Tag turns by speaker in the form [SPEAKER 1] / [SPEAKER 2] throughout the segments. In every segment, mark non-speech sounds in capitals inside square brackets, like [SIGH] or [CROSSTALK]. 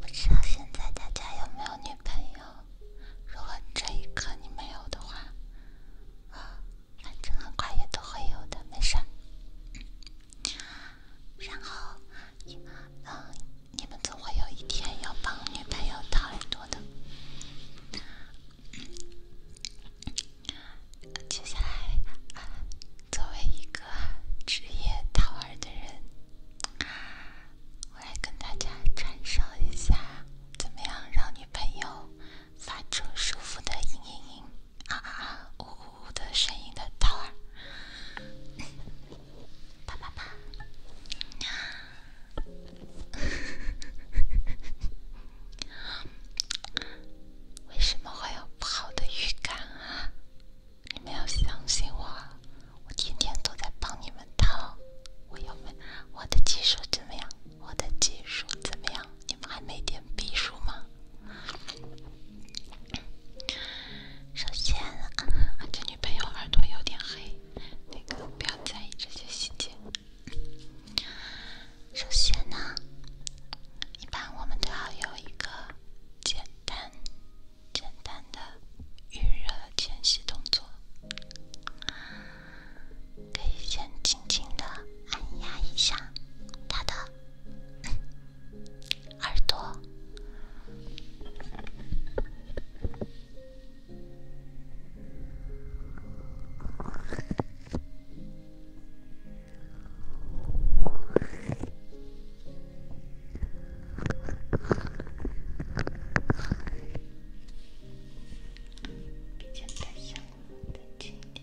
[SPEAKER 1] 不知道现在大家有没有女朋友？如果这一刻你没有的话，啊，反正很快也都会有的，没事然后，嗯，你们总会有一天要帮女朋友掏耳朵的。接下来，作为一个职业掏耳的人。我来跟大家传授一下，怎么样让女朋友发出舒服的嘤嘤嘤啊啊啊呜呜呜的声音的套路。啪啪啪！[LAUGHS] 为什么会有不好的预感啊？你们要相信我，我天天都在帮你们掏。我要问我的技术怎么样？我的技术怎么样？你们还没点逼数吗？首先啊，这女朋友耳朵有点黑，那个不要在意这些细节。首先呢，一般我们都要有一个简单。简单的预热前戏动作，可以先轻轻的按压一下他的耳朵。鼻尖太香了，太甜了。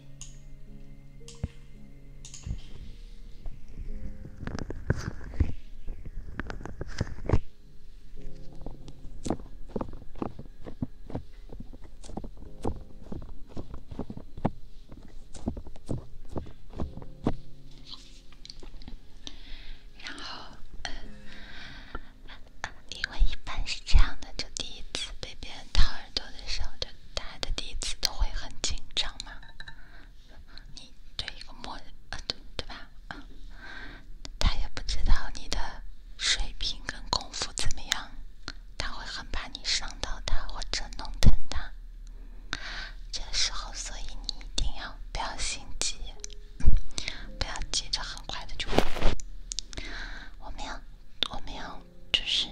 [SPEAKER 1] 然后，嗯，因为一般是这样的，就第一次被别人掏耳朵的时候，就他的第一次都会很紧张嘛。你对一个陌啊，对对吧？啊，他也不知道你的水平跟功夫怎么样，他会很怕你伤到他或者弄疼他。这时候，所以你一定要不要心急，不要急着很快的就，我们要，我们要就是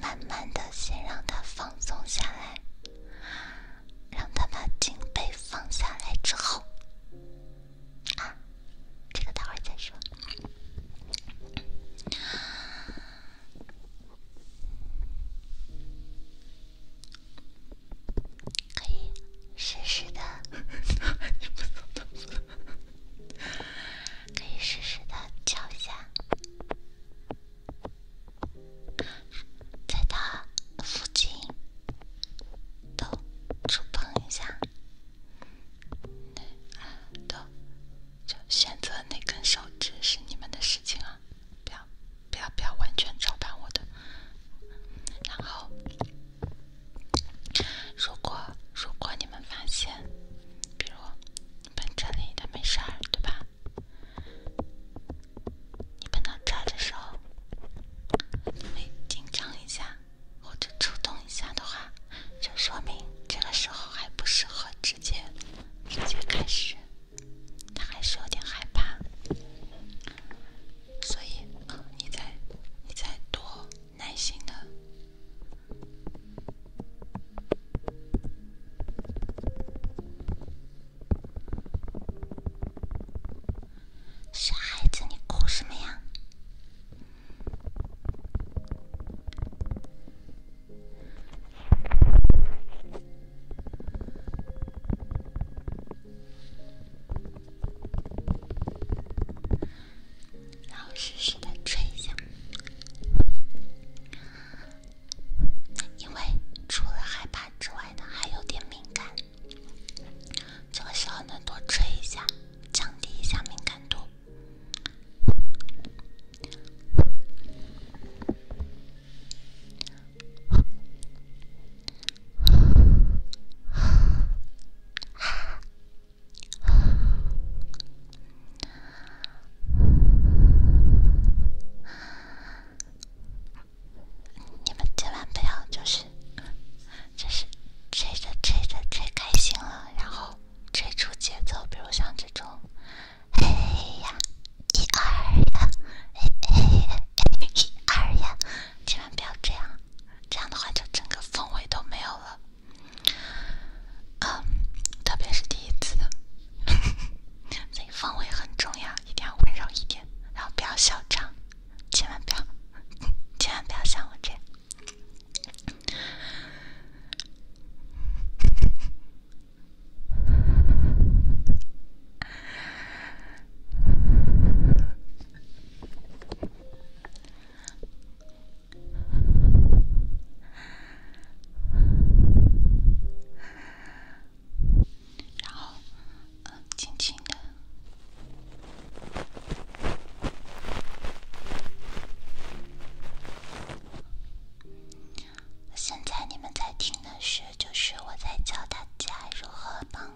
[SPEAKER 1] 慢慢的先让他放松下来，让他把颈椎放下来之后，啊，这个待会儿再说。可以试试的，[LAUGHS] 可以试试的，叫一在他附近都触碰一下，都就选择哪根手指是你们的事情啊，不要。不要不要完全照搬我的。然后，如果如果你们发现，比如你们这里的没事儿，对吧？你们到这儿的时候，会紧张一下或者触动一下的话，就说明这个时候还不适合直接直接开始。他还是有点害怕，所以，你在你在多耐心的。傻孩子，你哭什么呀？然后试试再吹一下，因为除了害怕之外呢，还有点敏感。这个时候呢，多吹一下，降低一下敏感度。你们千万不要，就是，就是吹着吹着吹开心了，然后吹出节奏，比如像这种，嘿呀。一二呀，诶诶诶诶，一二呀，千万不要这样，这样的话就整个氛围都没有了。啊，特别是第一次，[LAUGHS] 氛围很重要，一定要温柔一点，然后不要嚣张，千万不要，千万不要像我这样。[LAUGHS] 然后，轻轻的。现在你们在听的是。这就是我在教大家如何帮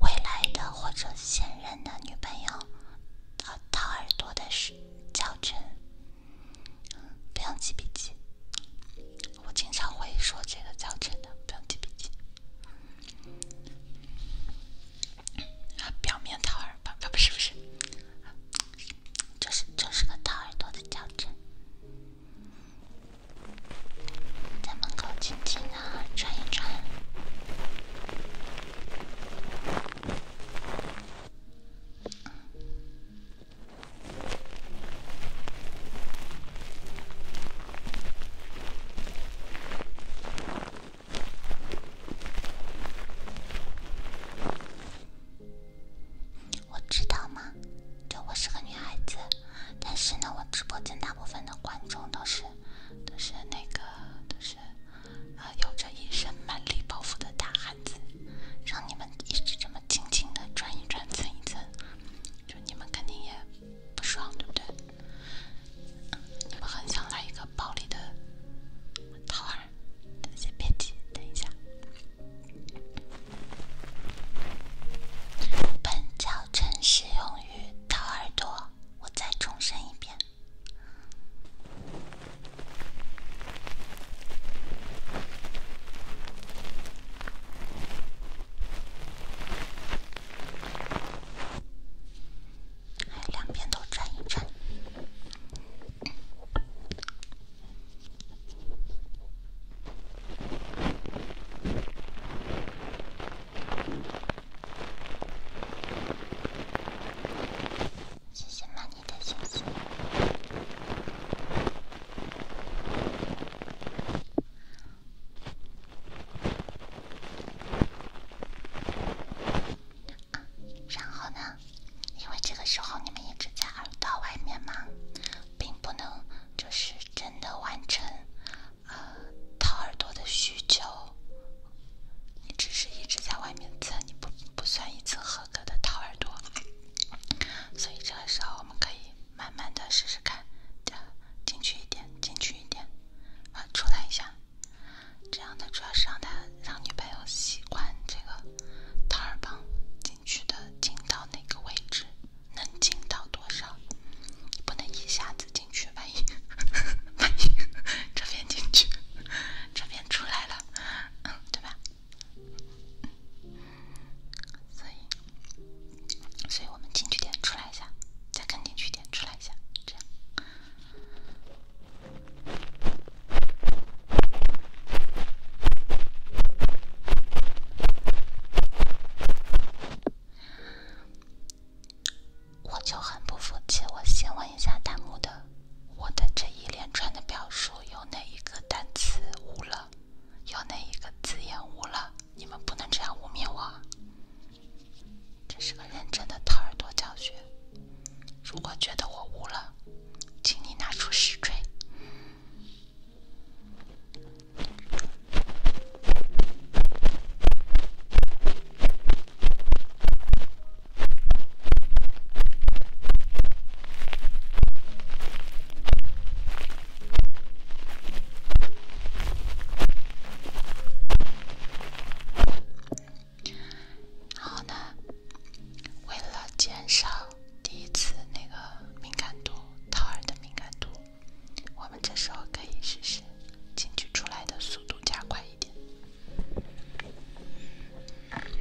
[SPEAKER 1] 未来的或者现任的女朋友掏耳朵的教程，不用记笔记。我经常会说这个教程的，不用记笔记。啊，表面掏耳朵，啊不是不是，就是就是个掏耳朵的教程。在门口静静的转一转，我知道吗？就我是个女孩子，但是呢，我直播间大部分的观众都是都是那个都是啊有着一身蛮力抱负的大汉子，让你们一直这么轻轻的转一转蹭一蹭，就你们肯定也不爽，对不对？你们很想来一个暴力的桃儿，先别急，等一下。本教程适用于掏耳朵，我再重申一遍。还两边都沾一沾。
[SPEAKER 2] 谢谢妈你的谢谢。
[SPEAKER 1] 然后呢？因为这个时候你们一直在耳朵外面嘛。并不能就是真的完成，呃掏耳朵的需求。你只是一直在外面蹭，你不不算一次合格的掏耳朵。所以这个时候我们可以慢慢的试试看，这进去一点，进去一点，啊出来一下。这样的主要是让他让女朋友习惯这个掏耳棒进去的进到哪个位置。能进到多少？不能一下子进去，万一 [LAUGHS] 万一这边进去，这边出来了，对吧？所以，所以我们进去点出来一下，再跟进去点出来一下，这样。我就很不服气，我先问一下弹幕的，我的这一连串的表述有哪一个单词污了，有哪一个字眼污了？你们不能这样污蔑我，这是个认真的掏耳朵教学。如果觉得我污了，请你拿出实锤。然后为了减少第一次那个敏感度，掏耳的敏感度。我们这时候可以试试，进去出来的速度加快一点。哎，你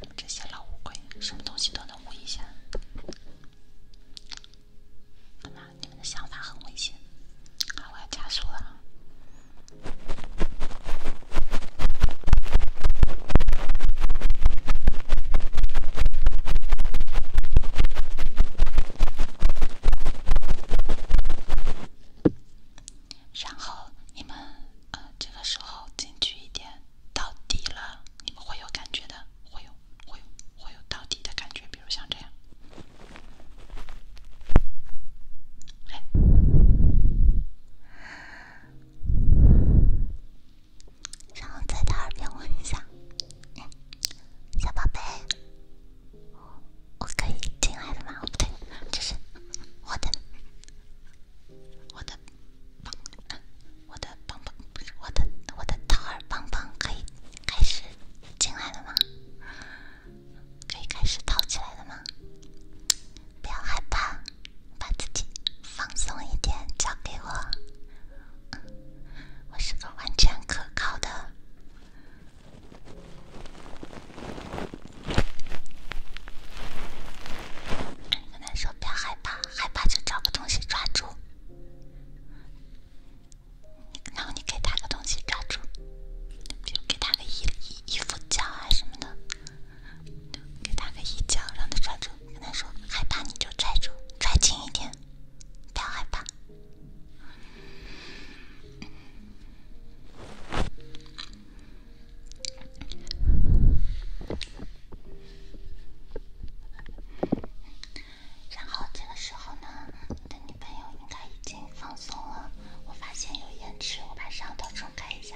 [SPEAKER 1] 们这些老乌龟，什么东西都能捂一下。你们的想法很危险。我要加速了。然后你们啊，这个时候进去一点到底了，你们会有感觉的，会有，会有，会有到底的感觉，比如像这样。然后在他耳边问一下：“小宝贝，我可以进来了吗？”不对，这是我的，我的，我的棒棒，不是我的，我的套儿棒棒，可以开始进来了吗？可以开始跑起来了吗？不要害怕，把自己放松一点，交给我。我是个完全可靠的。跟他说不要害怕，害怕就找个东西抓住。然后你给他个东西抓住，就给他个一。衣服角啊什么的，给他个衣角，让他抓住。跟他说：“害怕你就拽住，拽紧一点，不要害怕。”然后这个时候呢？我的女朋友应该已经放松了。我发现有延迟，我把摄像头重开一下。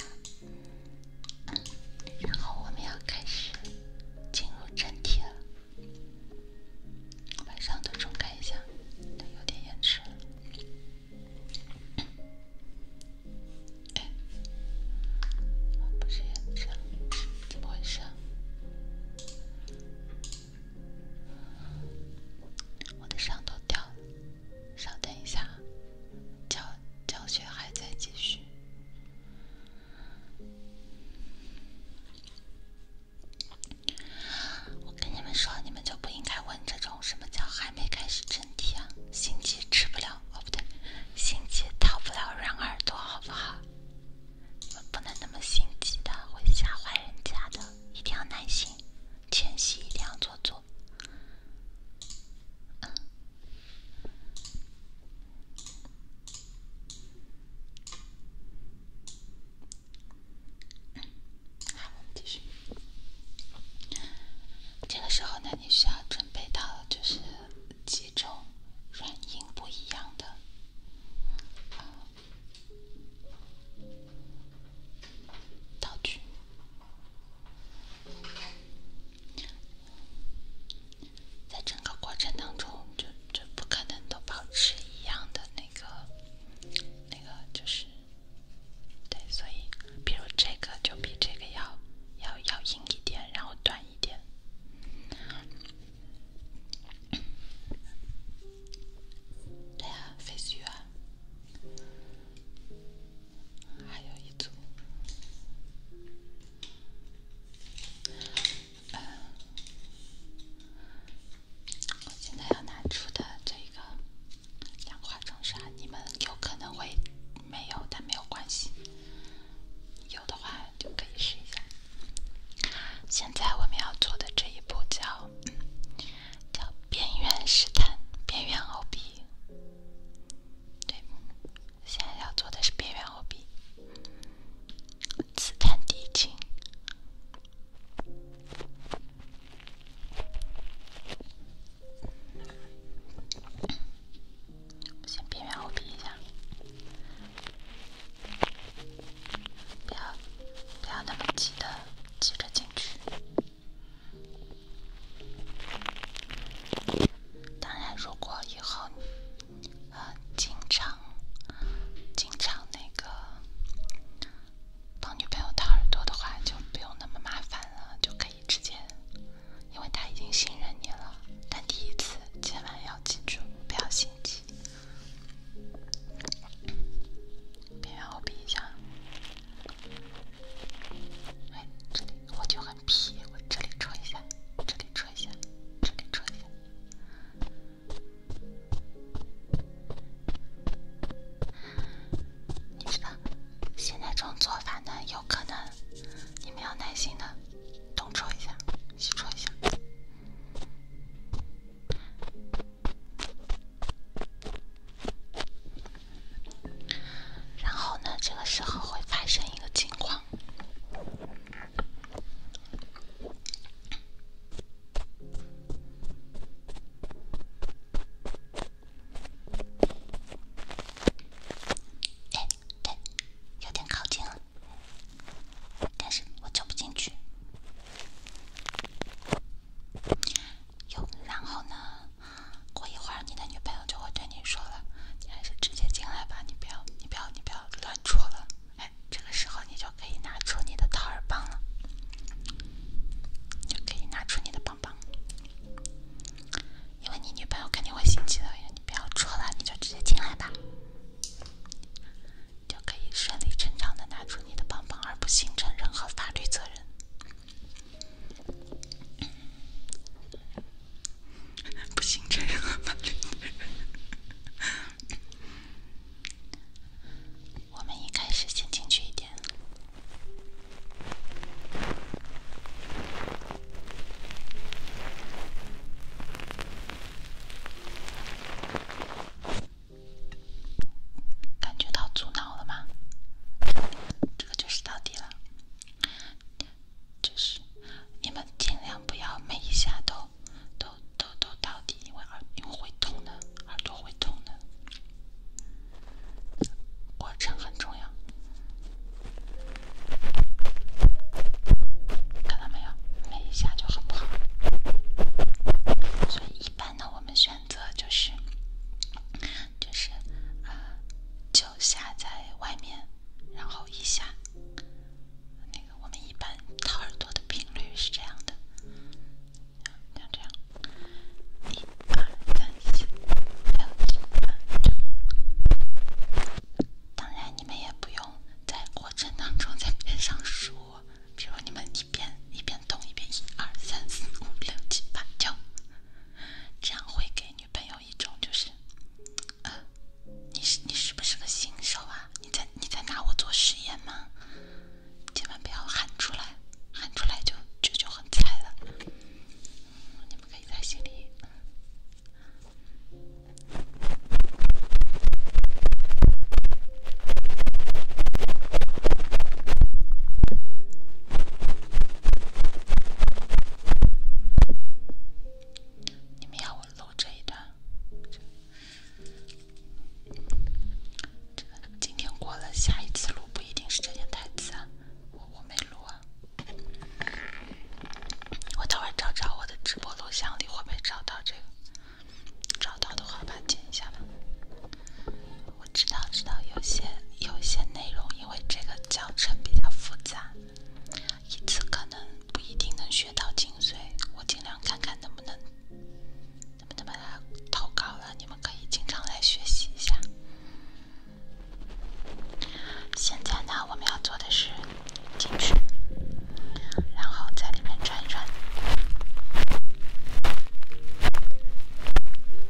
[SPEAKER 1] 然后我们要开始进入正题了。把摄像头重开一下，它有点延迟。哎，不是延迟，怎摸一下。我的摄像头掉了。稍等一下，教教学还在继续。我跟你们说，你们就不应该问这种什么叫还没开始真题啊？心急吃不了哦，不对，心急掏不了人耳朵，好不好？你们不能那么心急的，会吓坏人家的，一定要耐心。前期一定要做做。嗯，好，我们继续。这个时候呢，你需要准备到就是几种软硬不一样的。道具，在整个过程当中，就就不可能都保持一样的那个，那个就是，对，所以，比如这个就比这个要要要硬一点，然后短一点。哎呀，飞絮啊！还有一组。呃，我现在要拿出的这个氧化重砂，你们有可能会没有，但没有关系。有的话就可以试一下。现在我们要做的这一步叫，叫。边缘试探，边缘 OB。对，现在要做的是边缘 OB。试探敌情，先边缘 OB 一下，不要不要那么急的急着进去。当然，如果以后经常、经常那个帮女朋友掏耳朵的话，就不用那么麻烦了，就可以直接，因为她已经信任你了。但第一次，千万要记住，不要心急。别让我比一下。哎，这里我就很皮，我这里戳一下，这里戳一下，这里戳一下。你知道，现在这种做法呢，有可能，你们要耐心的东戳一下，西戳一下。然后呢？这个时候会发生一个情况。哎，对，有点靠近了，但是我走不进去。哟，然后呢？过一会儿你的女朋友就会对你说了，你还是直接进来吧，你不要，你不要，你不要乱戳了。哎，这个时候你就可以拿出你的掏耳棒了，就可以拿出你的棒棒，因为你女朋友肯定会心急的，你不要戳了，你就直接进来吧，就可以顺理成章的拿出你的棒棒，而不形成任何法律责任。不行，这个感觉。我们一开始先进去一点。感觉到阻挠了吗？这个就是到底了，就是你们尽量不要每一下都都都都到底，因为耳因为会痛的，耳朵会痛的。过程很重要，看到没有？每一下就很不好，所以一般呢，我们选。选择就是，就是，啊，就下在外面，然后一下，那个我们一般掏耳朵的频率是这样的，像这样，一、二、三、四、六、七、八、九。当然，你们也不用在过程当中在边上数，比如你们一边一边。读一遍一二三四五六七八九，这样会给女朋友一种就是，呃，你是你是不是个新手啊？你在你在拿我做实验吗？千万不要喊出来，喊出来就这就很菜了。你们可以在心里。你们要我录这一段？这个今天过了，下一次录不一定是这些台词。我我没录啊，我等会找找我的直播录像里会不会找到这个？找到的话，把它剪一下吧。我知道，知道有些有些内容，因为这个教程比较复杂，一次可能不一定能学到精髓。我尽量看看能不能能不能把它投稿了，你们可以经常来学习一下。现在呢，我们要做的是进去，然后在里面转一转。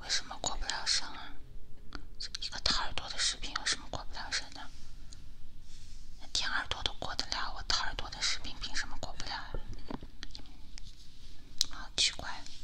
[SPEAKER 1] 为什么过不了审啊？一个掏耳朵的视频有什么过不了审的？那贴耳朵都过得了，我掏耳朵的视频凭什么过不了啊？好奇怪。[LAUGHS]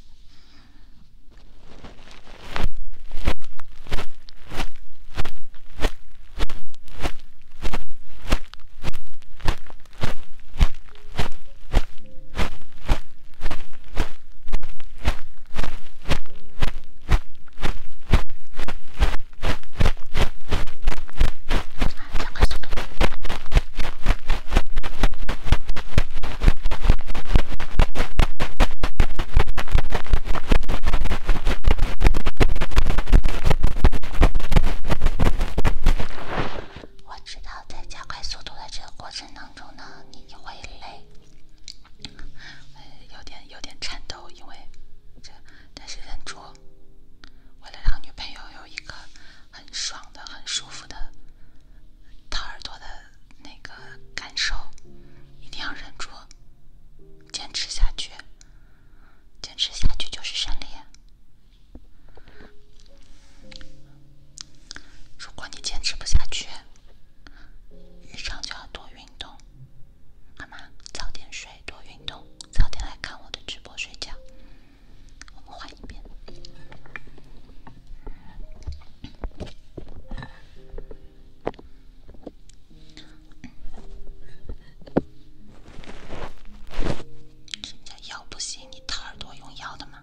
[SPEAKER 1] 我知道，在加快速度的这个过程当中呢，你会累。有点有点颤抖，因为这，但是忍住，为了让女朋友有一个很爽的、很舒服的掏耳朵的那个感受，一定要忍住，坚持下去，坚持下去就是胜利。如果你坚持不下去，日常就要多运动，好吗？早点睡，多运动，早点来看我的直播睡觉。我们换一边。人家腰不行，你掏耳朵用腰的吗？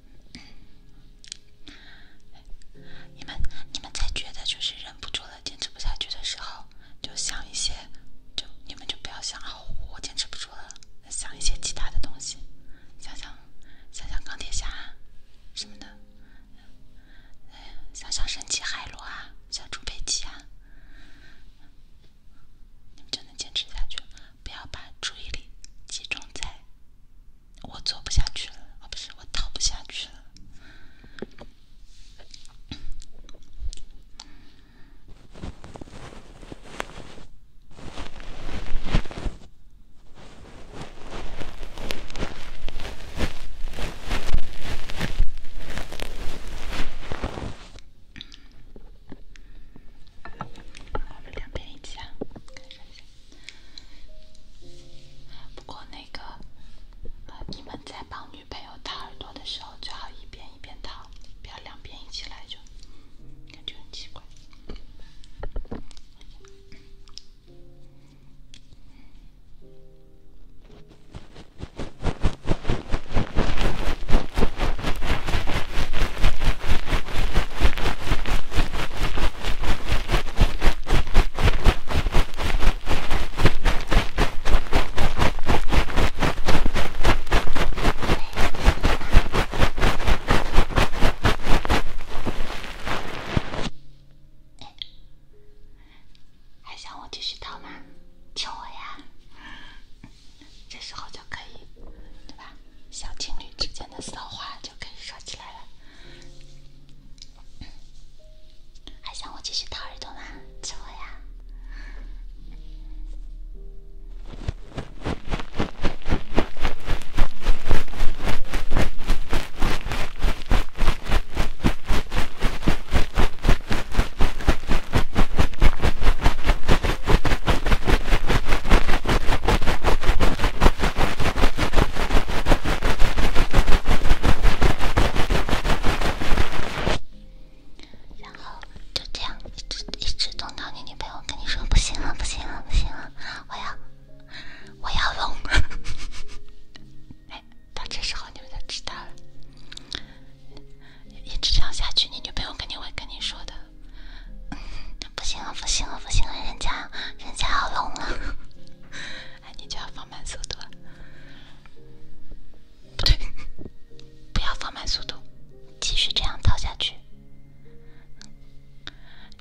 [SPEAKER 1] 你们，你们在觉得就是忍不住了、坚持不下去的时候，就想一些，就你们就不要想啊，我坚持不住了，想一些其他的东西，想想想想钢铁侠，什么的，想想神奇海螺啊，小猪佩奇啊，你们就能坚持下去，不要把注意力集中在。我做不下去了，啊，不是我逃不下去了。两边一起啊，看一下。不过那个，你们在帮女朋友掏耳朵的时候，最好一边一边掏，不要两边一起来，就感觉很奇怪。还想我继续掏吗？求我呀！这时候就可以，对吧？小情侣之间的骚话就可以说起来了。还想我继续掏耳朵吗？吃我呀！然后就这样一直一直弄到你女朋友跟你说不行了，不行了，不行了，我要我要聋！哎，到这时候你们就知道了，一直这样下去，你女朋友肯定会跟你说的，不行了，不行了，不行了，人家人家要聋了。哎，你就要放慢速度。不对，不要放慢速度，继续这样套下去。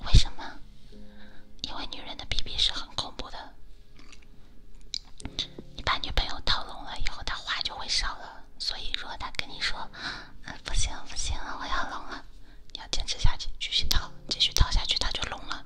[SPEAKER 1] 为什么？因为女人的 BB 是很恐怖的。你把女朋友套聋了以后，她话就会少了。所以，如果她跟你说“嗯，不行，不行，我要聋了”，坚持下去，继续掏，继续掏下去，他就聋了。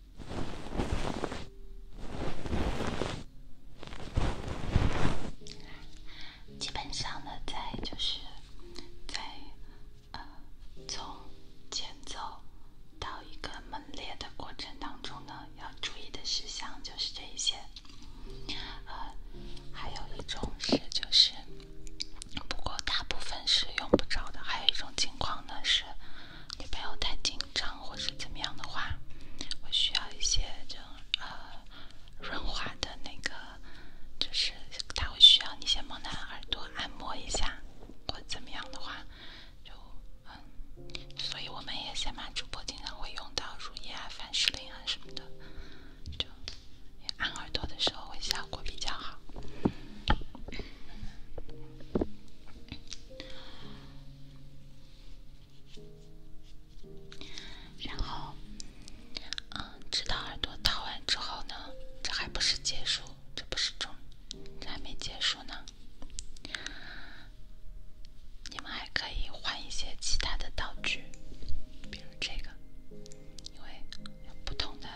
[SPEAKER 1] 基本上呢，在就是，在呃从前奏到一个猛烈的过程当中呢，要注意的事项就是这一些。呃，还有一种是就是。不过大部分是用不着的，还有一种情况呢是，你不要太紧张或者怎么样的话，会需要一些这种呃润滑的那个，就是它会需要你先摸它耳朵按摩一下，或怎么样的话，就嗯，所以我们也先把主播经常会用到乳液啊、凡士林啊什么的，就按耳朵的时候会效果比较好。然后，嗯，直到耳朵掏完之后呢，这还不是结束，这不是终，还没结束呢。你们还可以换一些其他的道具，比如这个，因为不同的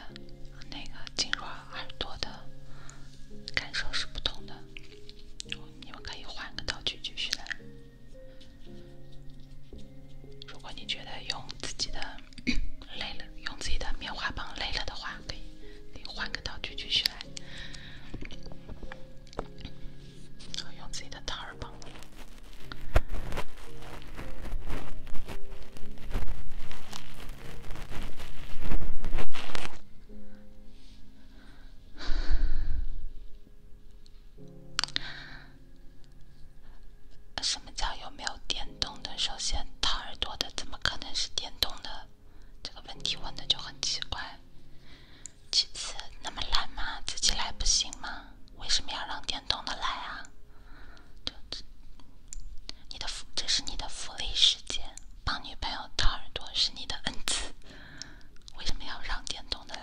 [SPEAKER 1] 那个筋软。耳朵的感受是不同的，你们可以换个道具继续来。如果你觉得用自己的累了，[CLEARS THROAT] 用自己的棉花棒累了的话，可以换个道具继续来，用自己的桃儿棒。什么叫有没有电动的？首先掏耳朵的怎么可能是电动的？这个问题问的就很奇怪。其次，那么懒嘛，自己来不行吗？为什么要让电动的来啊？你的福，这是你的福利时间，帮女朋友掏耳朵是你的恩赐，为什么要让电动的来？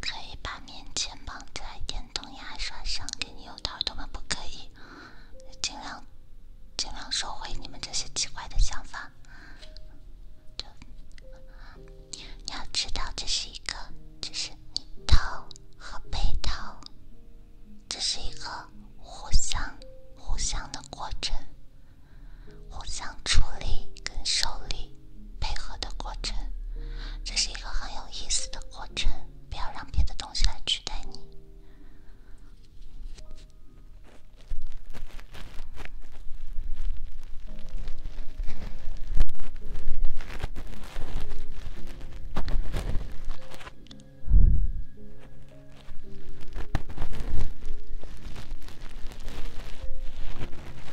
[SPEAKER 1] 可以把面签绑在眼。动牙刷上给你用掏耳朵吗？不可以，尽量尽量收回你们这些奇怪的想法。你要知道，这是一个，这是你掏和被套，这是一个互相互相的过程，互相处理跟受力。配合的过程，这是一个很有意思的过程。不要让别的东西来取代你。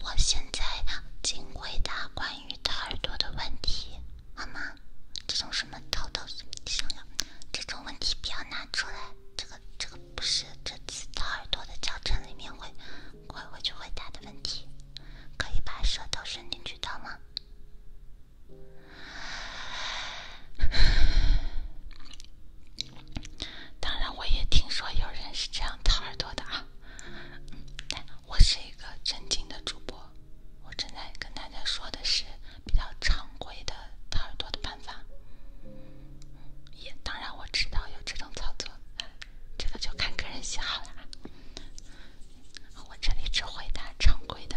[SPEAKER 1] 我现在仅回答关于掏耳朵的问题，好吗？这种什么掏到嘴里了，这种问题不要拿出来。这个这个不是这次掏耳朵的教程里面会会会去回答的问题。可以把舌头伸进去掏吗？当然，我也听说有人是这样掏耳朵的啊。我是一个正经的主播，我正在跟大家说的是比较常规的掏耳朵的办法。也当然我知道有这种操作，这个就看个人喜好啦。我这里只回答常规的。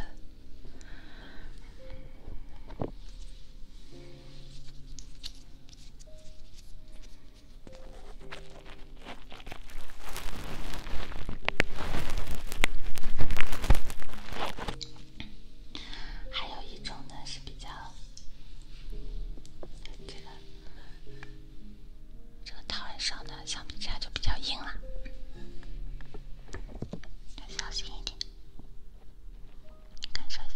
[SPEAKER 1] 还有一种呢，是比较这个这个套上的橡皮擦就比较硬了，小心一点，感受一下。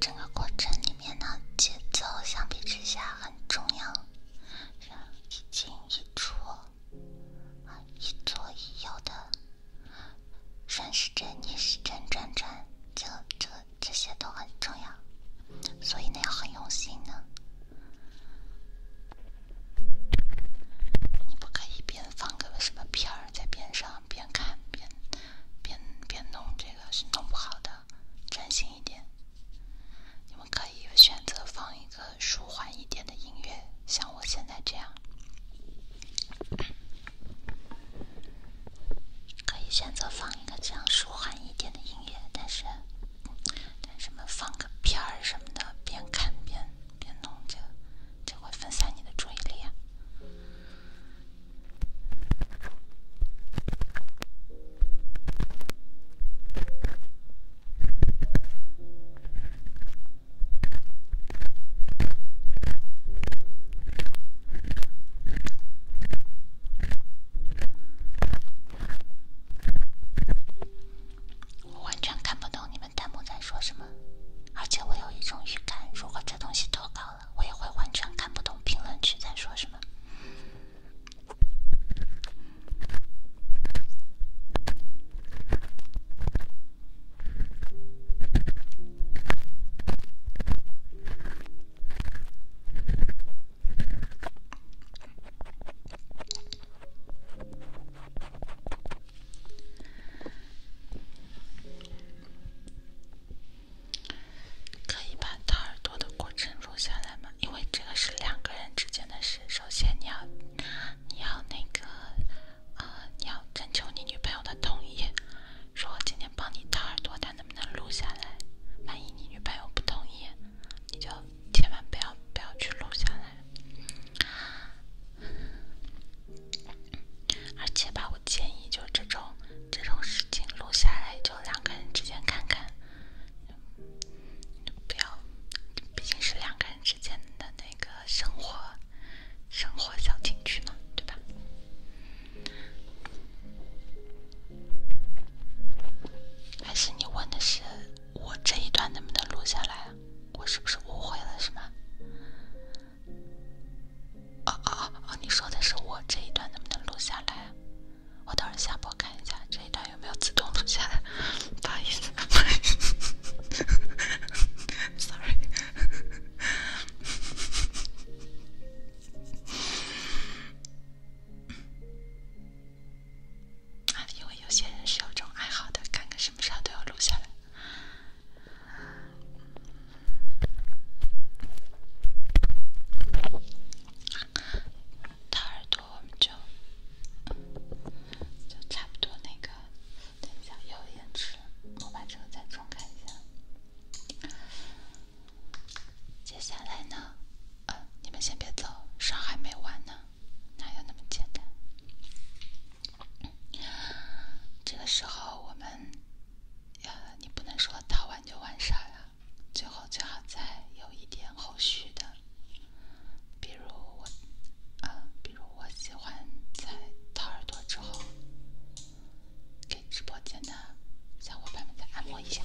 [SPEAKER 1] 整个过程里面呢，节奏相比之下很重要，一进一出，啊，一左一右的顺时针、逆时针转转，这、这、这些都很重要，所以那要很用心呢。你不可以边放个什么片在边上边看边边边弄这个是弄不好的，专心一点。你们可以选择放一个舒缓一点的音乐，像我现在这样，可以选择放一个这样舒缓一点的音乐，但是但是们放个片儿什么的边看边。别弄这，这会分散你的注意力啊！我完全看不懂你们。弹幕在说什么？而且我有一种预感，如果这东西投稿了，我也会完全看不懂评论区在说什么。可以把掏耳朵的过程录下来吗？因为这个是两个人之间的事。首先，你要，你要那个，呃，你要征求你女朋友的同意，说今天帮你掏耳朵，她能不能录下来？万一你女朋友不同意，你就。千万不要不要去录下来，而且吧，我建议就这种这种事情录下来，就两个人之间看看，不要，毕竟是两个人之间的那个生活生活小情趣嘛，对吧？还是你问的是我这一段能不能录下来？我是不是误会了？是吗？啊啊啊你说的是我这一段能不能录下来？我等会儿下播看一下这一段有没有自动录下来。[LAUGHS] 不好意思，不好意思，sorry。啊，因为有些人是有这种爱好的，看看什么时候都要录下来。耳朵我们就就差不多那个，等一下又延迟我把这个再重开一下。接下来呢？呃，你们先别走，事还没完呢。哪有那么简单？这个时候我们呀，你不能说掏完就完事了，最后最好再有一点后续的，比如我，啊，比如我喜欢在掏耳朵之后，给直播间的小伙伴们再按摩一下。